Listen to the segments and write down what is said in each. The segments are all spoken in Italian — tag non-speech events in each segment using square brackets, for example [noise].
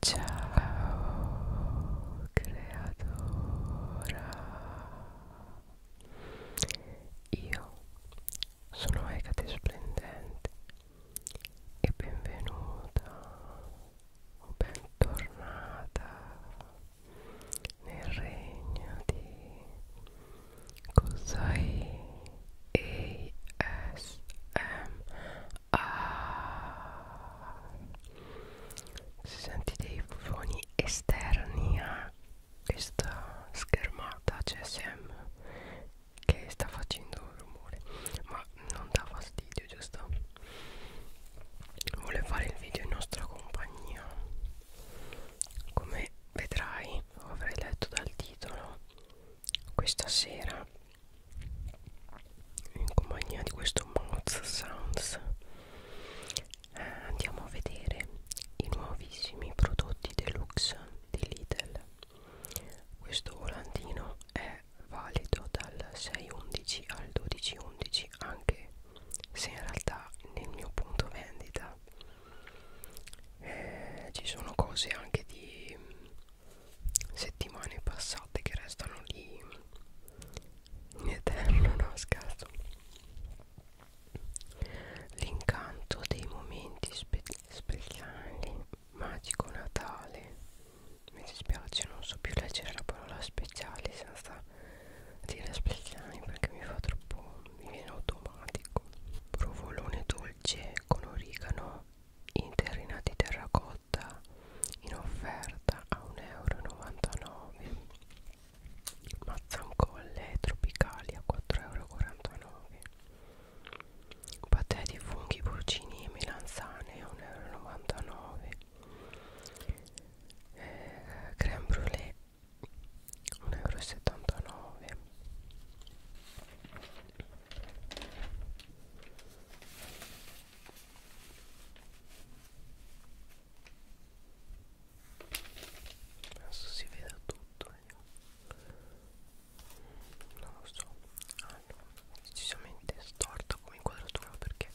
Ciao creatora Io sono Ecate Splendente e benvenuta o bentornata nel regno di Cosai ASMR ah, si senti dei suoni esterni a questa schermata CSM che sta facendo un rumore ma non dà fastidio giusto vuole fare il video in nostra compagnia come vedrai lo avrai letto dal titolo questa sera in compagnia di questo Moz Sounds eh, andiamo a vedere i nuovissimi prodotti deluxe di Lidl questo volantino è valido dal 6-11 al 12-11 anche se in realtà nel mio punto vendita eh, ci sono cose anche di settimane passate che restano lì in eterno no scherzo l'incanto dei momenti spe speciali magico natale mi dispiace non so più leggere la parola speciale senza dire speciali perché mi fa troppo mi viene automatico provolone dolce con origano interina di terracotta ridotta in offerta a 1,99 euro mazzancolle tropicali a 4,49 euro patè di funghi, porcini e melanzane a 1,99 euro eh, creme brulee 1,79 euro adesso si vede tutto io non lo so hanno ah, decisamente storta come inquadratura perché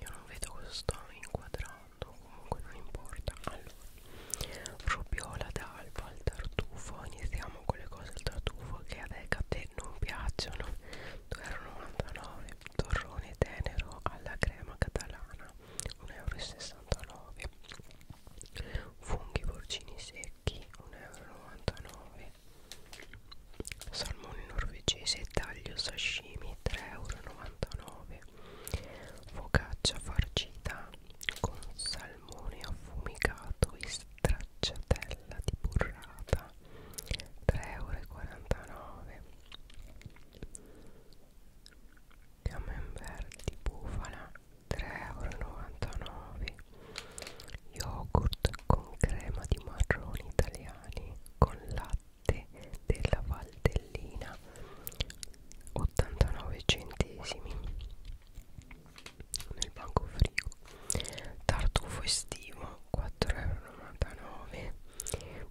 io non vedo cosa sto inquadrando comunque non importa allora rubiola d'alba al tartufo iniziamo con le cose al tartufo che a te, a te non piacciono 2,99 torrone tenero alla crema catalana 1,69 funghi porcini secchi 1,99 salmone norvegese taglio sashimi 3,99 focaccia farcita con salmone affumicato e stracciatella di burrata 3,49€ camembert di bufala 3,99€ yogurt con crema di marroni italiani con latte della Valdellina 89 centesimi nel banco frigo tartufo estivo 4,99€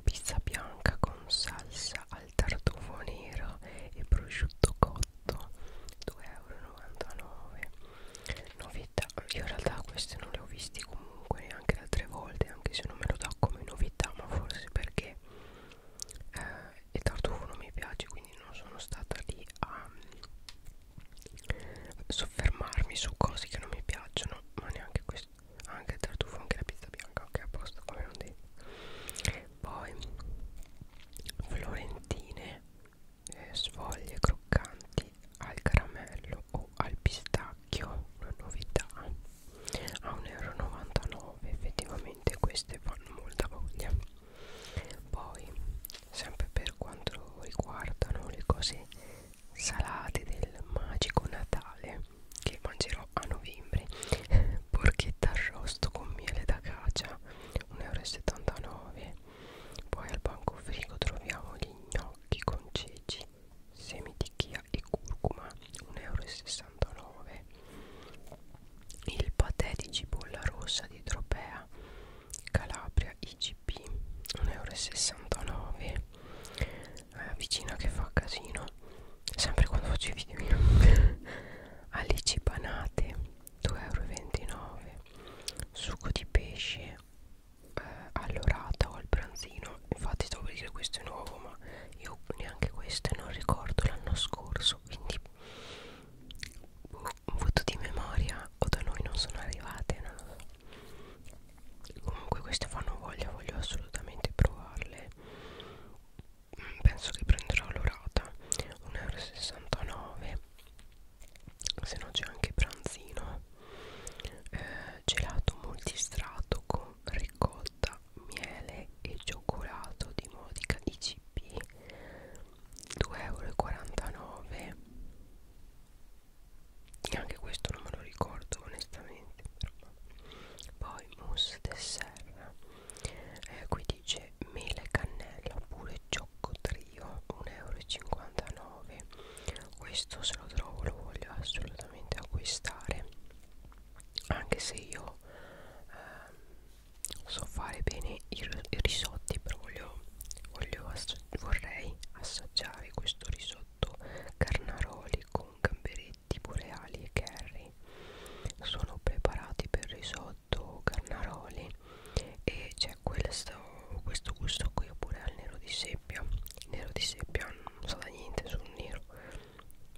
pizza bianca con salsa al tartufo nero e prosciutto cotto 2,99€ novità io in realtà queste non le ho viste comunque neanche altre volte anche se non me lo dà come novità ma forse perché eh, il tartufo non mi piace quindi non sono stata lì a soffermarmi su cose che non mi piacciono ma neanche questo anche il tartufo anche la pizza bianca ok a posto come non devi poi florentine eh, svoglie croccanti al caramello o al pistacchio una novità a 1,99 euro effettivamente queste fanno molta voglia poi sempre per quanto riguardano le cose salate del magico Natale che mangerò a novembre [laughs] porchetta arrosto con miele da caccia 1,79 euro poi al banco frigo troviamo gli gnocchi con ceci semi di chia e curcuma 1,69 euro il patè di cipolla rossa di Tropea Calabria IG DP 1,69 euro eh, vicina che fa casino sempre quando faccio i video [laughs] alici panate 2,29 euro succo di pesce eh, allorata o al pranzino infatti stavo per dire questo è nuovo ma io neanche questo non ricordo l'anno scorso quindi un voto di memoria o da noi non sono arrivate non lo so. comunque queste fanno voglia voglio assolutamente provarle mm, penso che prenderò l'orata 1,69 euro se no c'è anche pranzino eh, gelato multistrato con ricotta miele e cioccolato di modica ICP 2,49 euro anche questo non me lo ricordo onestamente però. poi mousse dessert eh, qui dice mela e cannella oppure ciocco trio 1,59 euro questo se lo trovo lo voglio assolutamente acquistare anche se io eh, so fare bene i, i risotti però voglio Voglio assa vorrei assaggiare questo risotto carnaroli con gamberetti boreali e curry. Sono preparati per risotto carnaroli e c'è questo, questo gusto qui oppure al nero di seppia. Il nero di seppia non sa da niente sul nero,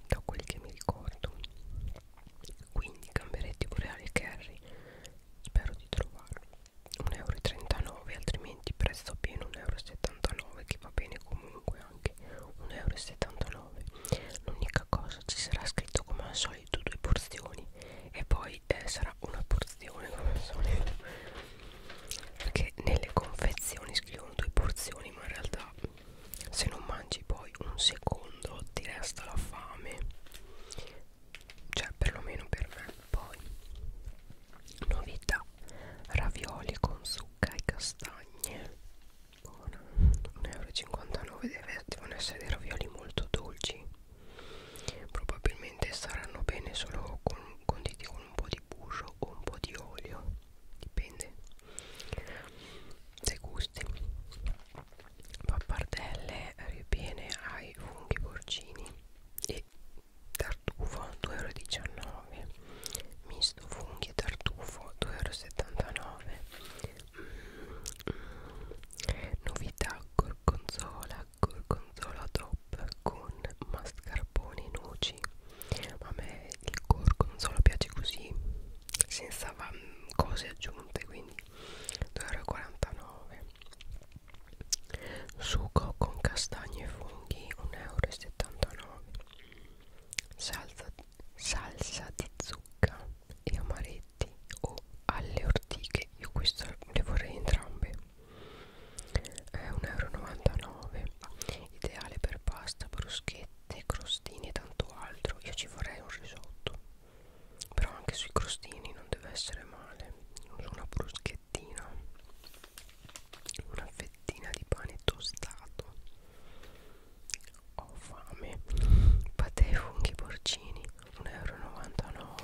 da quel che mi ricordo. Quindi gamberetti boreali e curry. Spero di trovarlo. 1,39 euro altrimenti prezzo pieno 1,79 euro che va bene comunque anche 1,79 euro l'unica cosa ci sarà scritto come al solito due porzioni e poi eh, sarà una porzione come al solito perché nelle confezioni scrivono due porzioni ma in realtà se non mangi poi un secondo ti resta la fame cioè perlomeno per me poi novità ravioli con zucca e castagne buona 1,59 euro Deve, devono essere dei ravioli molto dolci probabilmente saranno bene solo con, conditi con un po' di burro o un po' di olio dipende se gusti pappardelle ripiene ai funghi porcini e tartufo 2,19 euro misto funghi e tartufo 2,79 euro mm. novità gorgonzola gorgonzola top con mascarpone e noci a me il gorgonzola piace così senza cose aggiunte quindi 2,49 euro sugo con castagne e funghi 1,79 euro salsa, salsa di zucca e amaretti o oh, alle ortiche io queste le vorrei entrambe è 1,99 euro ideale per pasta, bruschette, crostini e tanto altro io ci vorrei un risotto però anche sui crostini non deve essere male uso una bruschettina una fettina di pane tostato ho fame patè funghi porcini 1,99 euro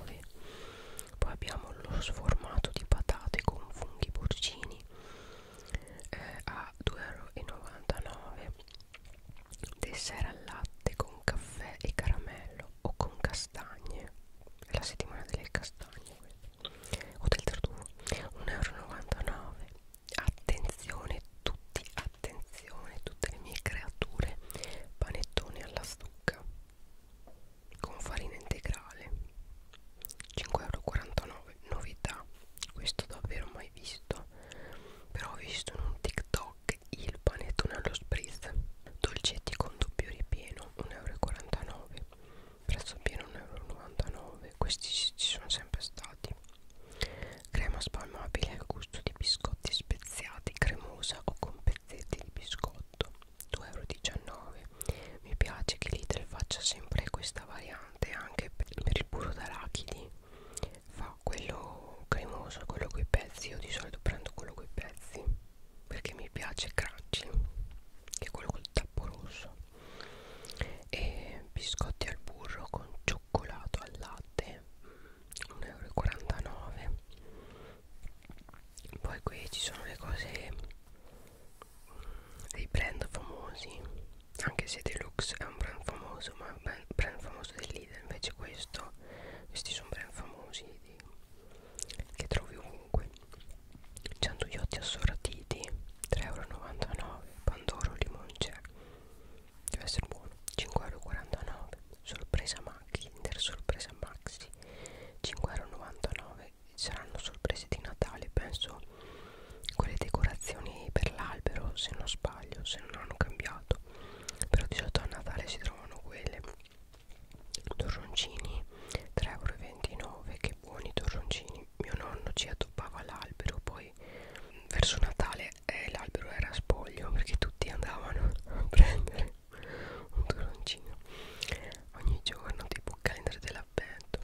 poi abbiamo lo sformato di patate con funghi porcini eh, a 2,99 euro dessert al latte con caffè e caramello o con castagne è la settimana delle castagne o del tartufo 1,99 euro attenzione tutti attenzione tutte le mie creature panettone alla stucca con farina integrale 5,49 euro novità questo davvero mai visto però ho visto in un tiktok parte il panettone allo spritz dolcetti con doppio ripieno 1,49 euro prezzo pieno 1,99 euro questi ci sono sempre stati crema spalmabile al gusto di biscotti speziati cremosa o con pezzetti di biscotto 2,19 euro mi piace che Lidl faccia sempre questa variante anche per il burro d'arachidi fa quello cremoso quello coi pezzi io di solito prendo quello coi pezzi perché mi piace crunchy che è quello col tappo rosso e biscotti al burro con cioccolato al latte 1,49 mm, euro poi qui ci sono le cose mm, dei brand famosi anche se Deluxe è un brand famoso ma brand famoso del leader invece questo questi sono brand famosi di che trovi ovunque 100 iotti assortiti 3,99€ pandoro limonce cioè, deve essere buono 5,49€ sorpresa maxi kinder sorpresa maxi 5,99€ saranno sorprese di natale penso quelle decorazioni per l'albero se non sbaglio se non hanno cambiato però di solito a natale si trovano quelle torroncini 3,29 euro che buoni torroncini mio nonno ci addobbava l'albero poi verso Natale eh, l'albero era spoglio perché tutti andavano a prendere un torroncino ogni giorno tipo calendar dell'avvento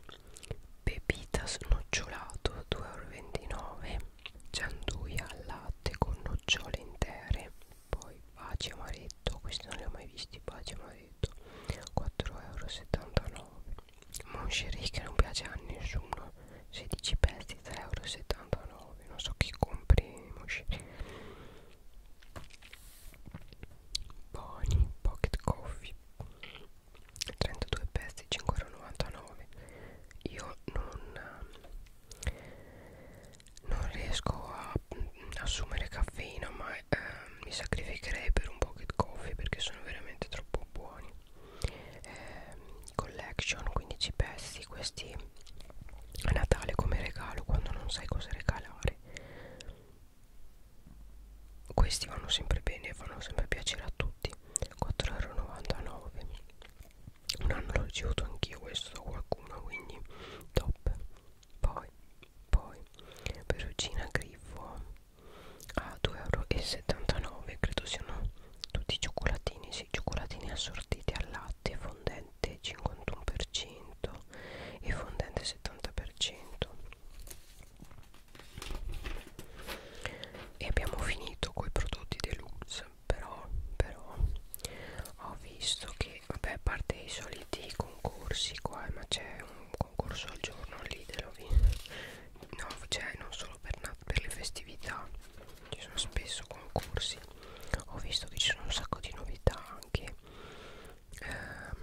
pepitas nocciolato 2,29 euro gianduia al latte con nocciole intere poi baci amaretto questi non li ho mai visti baci amaretto 4,79 euro moncherie che non piace a nessuno 16 pezzi 3,79 euro non so chi compri moncherie Boni Pocket Coffee 32 pezzi 5,99 euro io non non riesco a assumere caffeina ma eh, mi sacrificherei per un pocket coffee perché sono veramente troppo buoni eh, collection 15 pezzi questi a Natale come regalo quando non sai cosa regalare questi vanno sempre bene e fanno sempre piacere a tutti 4,99 euro un anno l'ho ricevuto anch'io questo da qualcuno quindi top poi poi perucina griffo a 2,79 euro credo siano tutti i cioccolatini sì, cioccolatini assortiti al latte fondente 51% e fondente 70% e abbiamo finito con i prodotti deluxe però però ho visto che che vabbè a parte i soliti concorsi qua ma c'è un concorso al giorno all'Idelo no c'è cioè, non solo per, per le festività ci sono spesso concorsi ho visto che ci sono un sacco di novità anche ehm,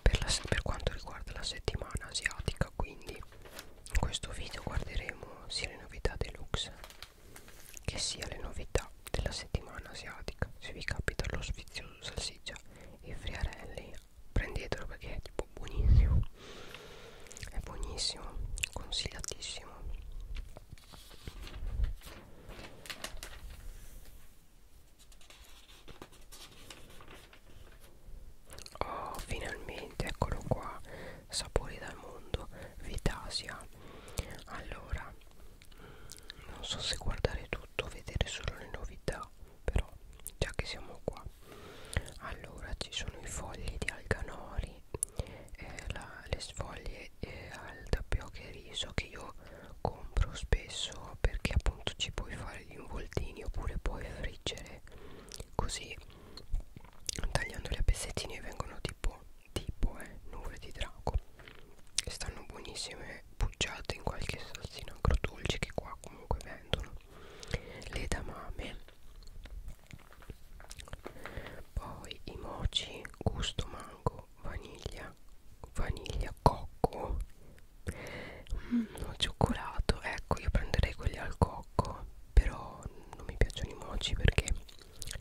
per, la, per quanto riguarda la settimana asiatica quindi in questo video guarderemo sia le novità deluxe che sia le novità della settimana asiatica se vi capita lo sfizioso salsiccia e friarelli prendetelo perché è tipo buonissimo è buonissimo consigliatissimo oh finalmente eccolo qua sapori dal mondo Vitasia allora mm, non so se guardare tutto vedere solo le novità però già che siamo qua allora ci sono i fogli di alganori eh, la, le sfoglie eh, al tapioca e riso che io compro spesso perché appunto ci puoi fare gli involtini oppure puoi friggere così tagliandoli a pezzettini vengono tipo tipo è eh, nuvole di drago stanno buonissime pucciate in qualche salsina agrodolce che qua comunque vendono le damame poi i moci gusto mango vaniglia vaniglia cocco mm, no, cioccolato ecco io prenderei quelli al cocco però non mi piacciono i moci perché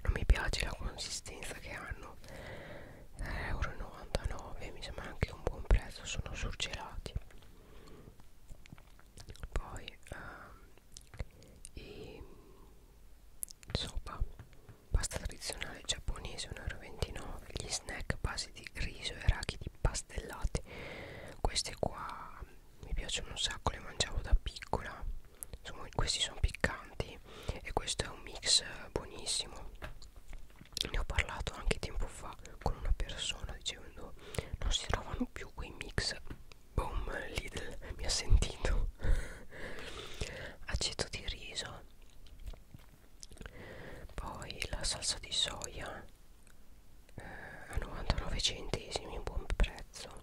non mi piace la consistenza che hanno 3,99€ mi sembra anche un buon prezzo sono surgelati poi uh, e sopa pasta tradizionale giapponese 1,29€ gli snack basi di riso e rachidi pastellati queste qua mi piacciono un sacco le mangiavo da piccola sono, questi sono piccanti e questo è un mix buonissimo ne ho parlato anche tempo fa con una persona dicendo non si trovano più quei mix boom Lidl mi ha sentito aceto di riso poi la salsa di soia eh, a 99 centesimi buon prezzo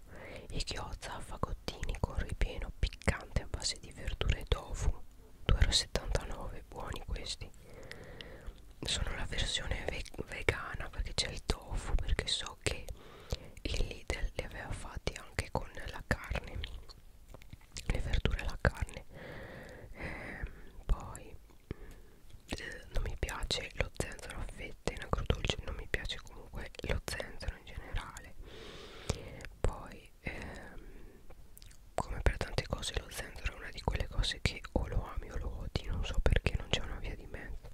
e ghiozza a fagottini con ripieno piccante a base di verdure e tofu 2,79 buoni questi sono la versione ve vegana perché c'è il tofu perché so che il Lidl li aveva fatti anche con la carne le verdure e la carne ehm, poi eh, non mi piace lo zenzero a fette in agrodolce non mi piace comunque lo zenzero libro in generale poi ehm, come per tante cose lo zenzero è una di quelle cose che o lo ami o lo odi non so perché non c'è una via di mezzo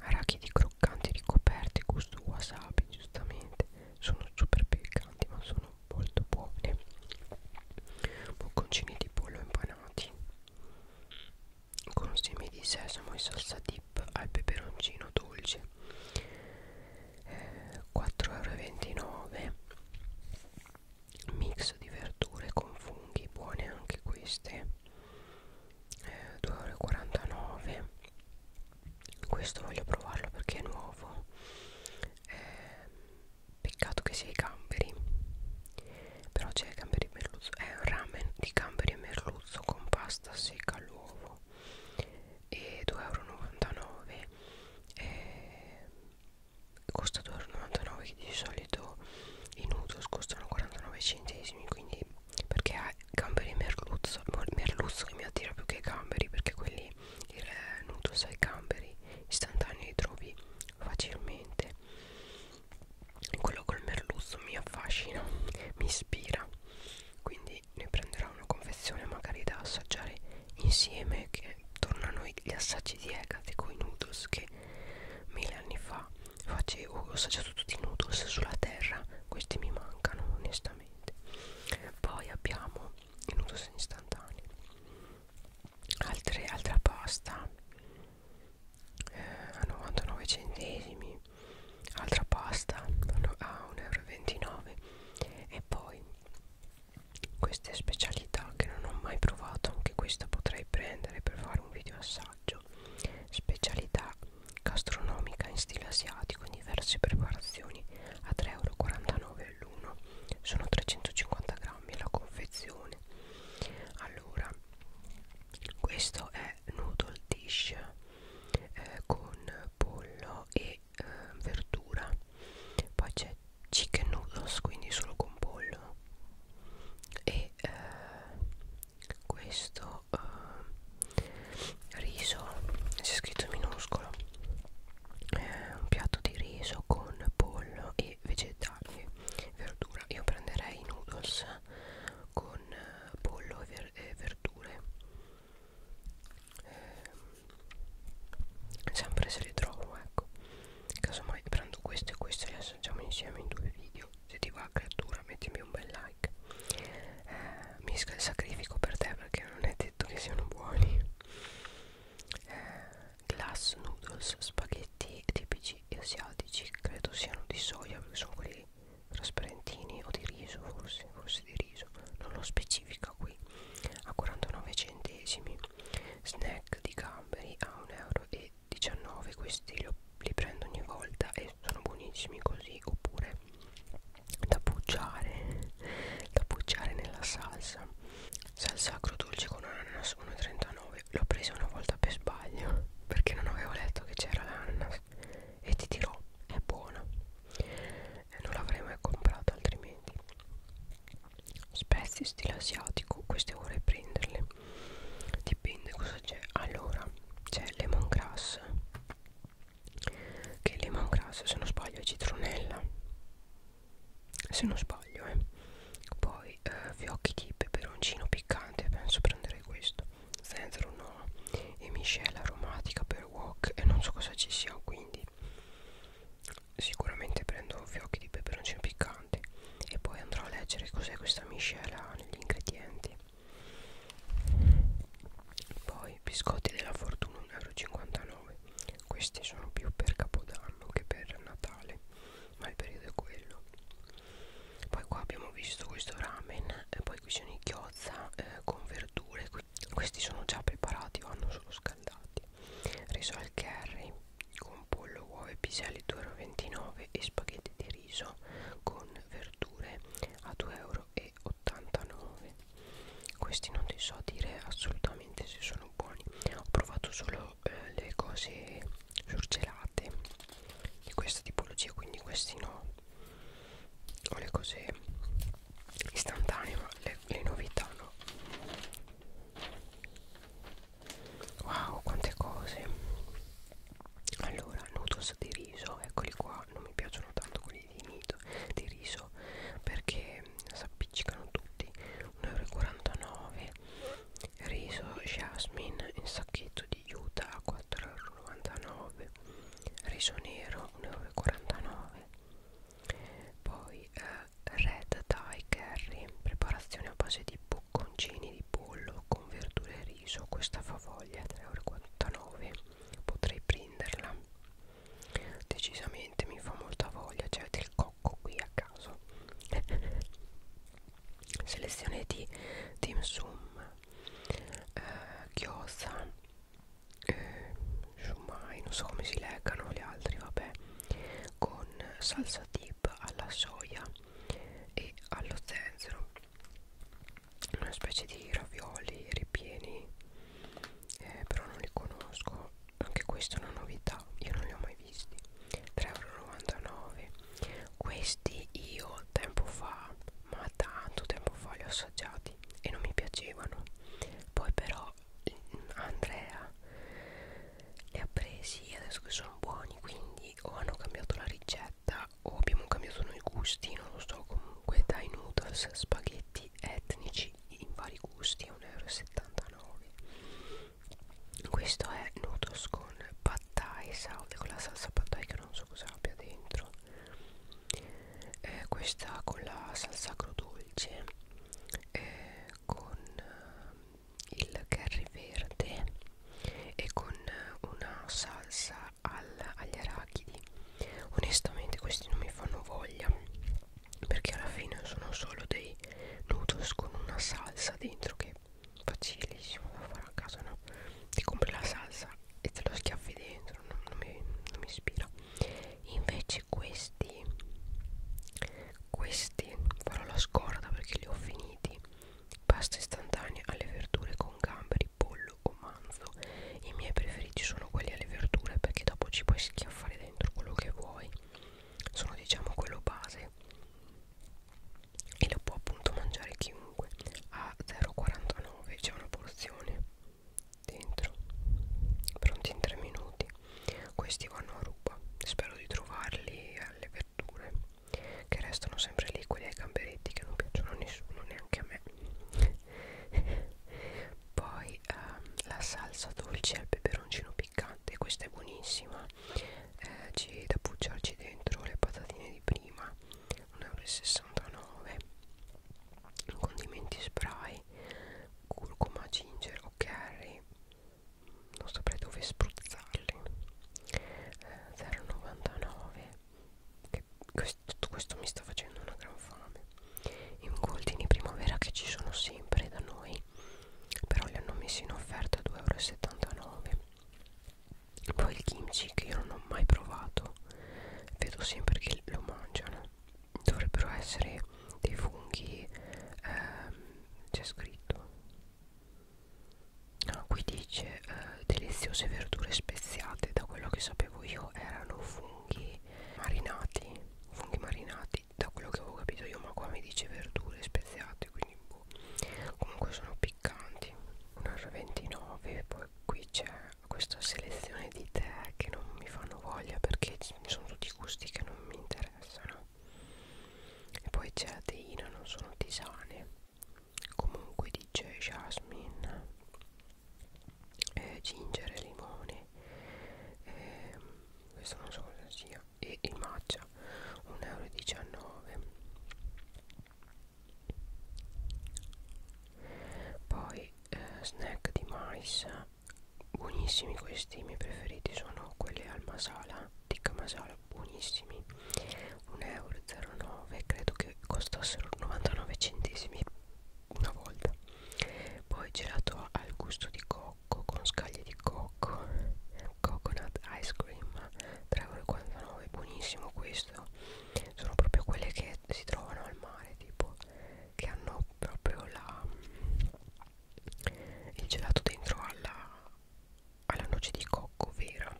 arachidi croccanti ricoperte gusto wasabi giustamente sono super piccanti ma sono molto buoni bocconcini di pollo impanati con semi di sesamo e salsa dip al peperoncino dolce eh, 4,29€ mix di verdure con funghi buone anche queste eh, 2,49€ questo voglio provarlo perché è nuovo eh, peccato che sia i gamberi però c'è i gamberi merluzzo è un ramen di gamberi e merluzzo spruzzo con pasta secca all'uovo e 2,99 euro e costa 2,99 euro che di solito i noodles costano 49 centesimi quindi perché ha gamberi merluzzo merluzzo che mi attira più che i gamberi perché quelli il noodles ai gamberi istantanei li trovi facilmente quello col merluzzo mi affascina, mi ispira quindi ne prenderò una confezione magari da assaggiare insieme che tornano gli assaggi di Egate con i noodles che mille anni fa facevo ho assaggiato tutti i noodles sulla terra questi mi mancano onestamente poi abbiamo i noodles istantanei Altre, altra pasta eh, a 99 centesimi altra pasta a 1,29 euro e poi queste specialità che non ho mai provato anche questa potrei prendere per fare un video assaggio specialità gastronomica in stile asiatico in diverse preparazioni a 3,49 euro all'uno sono 350 grammi la confezione allora questo è noodle dish eh, con pollo e eh, verdura poi c'è chicken noodles quindi solo con pollo e eh, questo eh, riso si è scritto minuscolo eh, un piatto di riso con pollo e vegetali verdura io prenderei i noodles con eh, pollo e, ver e verdure eh, sempre se le trovo ecco casomai prendo queste e queste le assaggiamo insieme in due video se ti va creatura mettimi un bel like eh, mi sacrifico per te perché non è detto che siano buoni eh, glass noodles spaghetti tipici asiatici credo siano di soia perché sono quelli trasparentini o di riso forse forse di riso non lo specifica qui a 49 centesimi snack di gamberi a 1,19 euro questi li, ho, li prendo ogni volta e sono buonissimi così oppure da bucciare da bucciare nella salsa salsa agrodolce con ananas 1,39 l'ho presa una volta per sbaglio perché non avevo letto che c'era l'ananas me e ti dirò è buona e non l'avrei mai comprata altrimenti spezie stile asiatico queste vorrei prenderle dipende cosa c'è allora c'è lemongrass che lemongrass se non sbaglio è citronella se non sbaglio eh poi eh, fiocchi di peperoncino piccante penso prenderei questo senza un nome e miscela aromatica per wok e non so cosa ci sia quindi sicuramente prendo fiocchi di peperoncino piccante e poi andrò a leggere cos'è questa miscela negli ingredienti poi biscotti della fortuna 1,59 euro questi sono più per capodanno che per natale ma il periodo è quello poi qua abbiamo visto questo ramen e poi qui c'è un'icchiozza eh, con verdure Qu questi sono già preparati vanno solo scaldati riso al curry con pollo uova e piselli 2,29 euro e spaghetti di riso con verdure a 2,89 euro questi non ti so dire assolutamente se sono buoni ho provato solo eh, le cose surgelate di questa tipologia quindi questi no o le cose istantanee ma le, le novità no wow quante cose allora noodles di riso eccoli qua non mi piacciono tanto quelli di mito di riso perché si appiccicano tutti 1,49 euro riso jasmine in sacchetto di juta a 4,99 euro 1,99 riso nero 1,49 poi eh, red dye curry preparazione a base di bocconcini di pollo con verdure e riso questa favoglia 3,49 potrei prenderla decisamente mi fa molta voglia c'è cioè del cocco qui a caso [laughs] selezione di dim sum eh, Chiosa eh, Shumai, non so come si leggano gli altri, vabbè con salsa dip alla soia e allo zenzero una specie di ravioli ripieni eh, però non li conosco anche questa è una novità io non li ho mai visti 3,99 euro questi io tempo fa ma tanto tempo fa li ho assaggiati e non mi piacevano poi però mm, Andrea li ha presi adesso che sono buoni quindi o hanno cambiato la ricetta o abbiamo cambiato noi gusti non lo so comunque dai noodles spaghetti etnici in vari gusti 1,79 euro questo è noodles con pad thai salve con la salsa pad thai che io non so cosa abbia dentro eh, questa con la salsa agrodolce eh, con eh, il curry verde e con una salsa al, agli arachidi onestamente questi non mi fanno voglia perché alla fine sono solo dei noodles con una salsa dentro che facilissimo da fare a casa no? ti compri la salsa e te lo schiaffi dentro non, non, mi, non mi ispira invece questi questi farò la scorda perché li ho finiti pasta istantanea alle verdure con gamberi pollo o manzo i miei preferiti sono quelli alle verdure perché dopo ci puoi schiaffare dentro quello che vuoi sono diciamo quello base e lo può appunto mangiare chiunque a 0,49 c'è una porzione dentro pronti in 3 minuti questi vanno a ruba spero di trovarli alle verdure che restano sempre lì quelli ai gamberetti che non piacciono a nessuno neanche a me [laughs] poi ehm, la salsa dolce al peperoncino piccante questa è buonissima eh, ci da pucciarci dentro le patatine di prima 1,69 euro condimenti spray curcuma ginger o curry non saprei dove spruzzarli eh, 0,99 che questo, tutto questo mi sta facendo una gran fame involtini in primavera che ci sono sempre da noi però li hanno messi in offerta a 2,79 euro poi il kimchi che io non ho mai provato vedo sempre che lo mangiano dovrebbero essere dei funghi ehm, c'è scritto ah, qui dice eh, deliziose verdure speziate da quello che sapevo io erano funghi marinati funghi marinati da quello che avevo capito io ma qua mi dice verdure speziate quindi boh. comunque sono piccanti 1,29€ poi qui c'è questa selezione di tè che non mi fanno voglia perché sono tutti gusti che non mi interessano e poi c'è la teina non sono tisane comunque dice jasmine eh, ginger e limone eh, questo non so cosa sia e il matcha 1,19€ poi eh, snack di mais buonissimi questi i miei preferiti sono quelli al masala tikka masala buonissimi 1,09€ credo che costassero 99 centesimi una volta poi gelato al gusto di cocco con scaglie di cocco coconut ice cream 3,49€ buonissimo questo sono proprio quelle che si trovano al mare tipo che hanno proprio la il gelato dentro alla, alla noce di cocco vera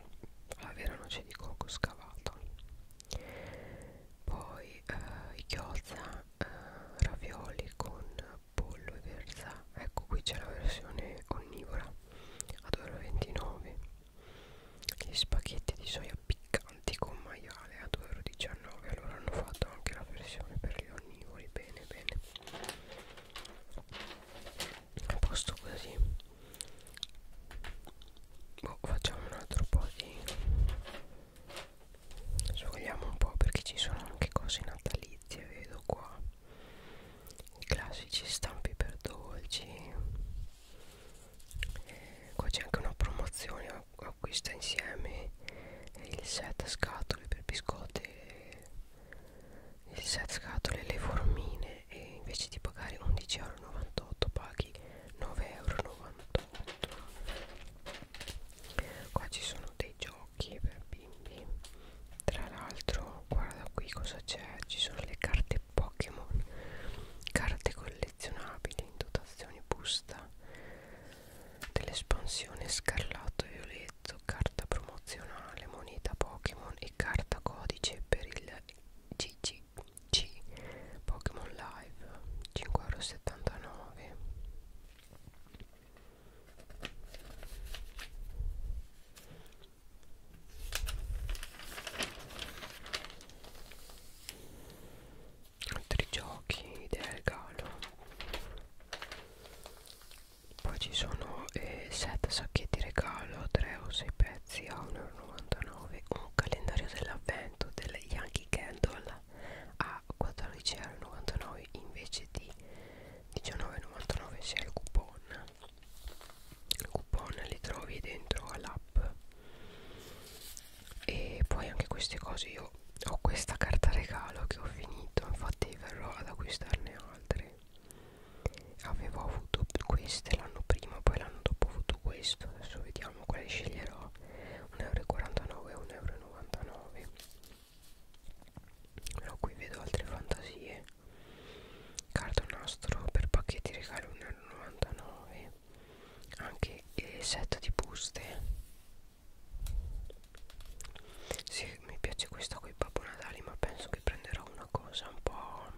alla vera noce di cocco scavata poi eh, ghiozza eh, ravioli con pollo e verza ecco qui c'è la versione onnivora a 2,29 euro gli spaghetti di soia piccanti con maiale a 2,19 euro allora hanno fatto anche la versione per gli onnivori bene bene a posto così boh, facciamo un altro po' di Svogliamo un po' perché ci sono anche cose natalizie, vedo qua i classici stampi per dolci qua c'è anche una promozione acquista insieme il set scatole per biscotte il set scatole e le formine e invece di pagare 11,98€ paghi 9,98€ qua ci sono dei giochi per bimbi tra l'altro guarda qui cosa c'è ci sono le carte e Pokémon, carte collezionabili in dotazione busta dell'espansione Scarlatto e Violetto, carta promozionale, moneta Pokémon e carta codice per il GGC Pokémon Live 5,79 euro altri giochi idea regalo poi ci sono 7 eh, sacchetti regalo 3 o 6 pezzi a 1,99 un calendario dell'avvento del Yankee Candle a 14,99 invece di 19,99 se il coupon coupon li trovi dentro all'app e poi anche queste cose io ho questa carta regalo che ho finito infatti verrò ad acquistarne altre avevo avuto queste l'anno prima poi l'anno dopo ho avuto questo adesso vediamo quale sceglierò 1,49 euro 1,99 euro però qui vedo altre fantasie cartonastro per pacchetti regalo 1,99 anche il set di buste sì, mi piace questa con i Babbo Natale ma penso che prenderò una cosa un po'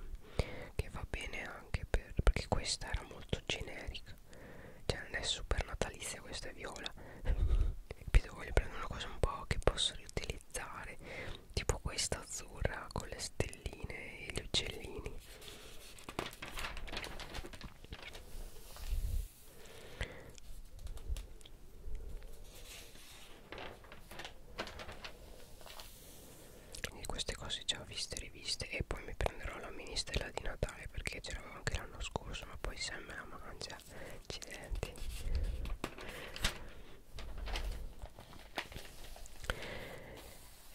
che va bene anche per, perché questa era molto generica cioè non è super natalizia questa è viola [laughs] capito voglio prendere una cosa un po' che posso riutilizzare tipo questa azzurra con le stelline e gli uccellini quindi queste cose già viste e riviste e poi mi prenderò la mini stella di Natale perché ce l'avevo anche l'anno scorso ma poi Sam me la mangia accidenti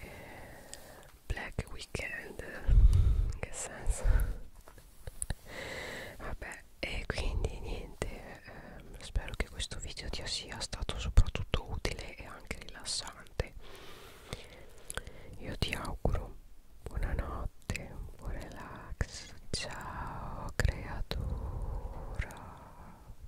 eh, Black Weekend in che senso vabbè e quindi niente ehm, spero che questo video ti sia stato soprattutto utile e anche rilassante io ti auguro buonanotte buon relax ciao creatura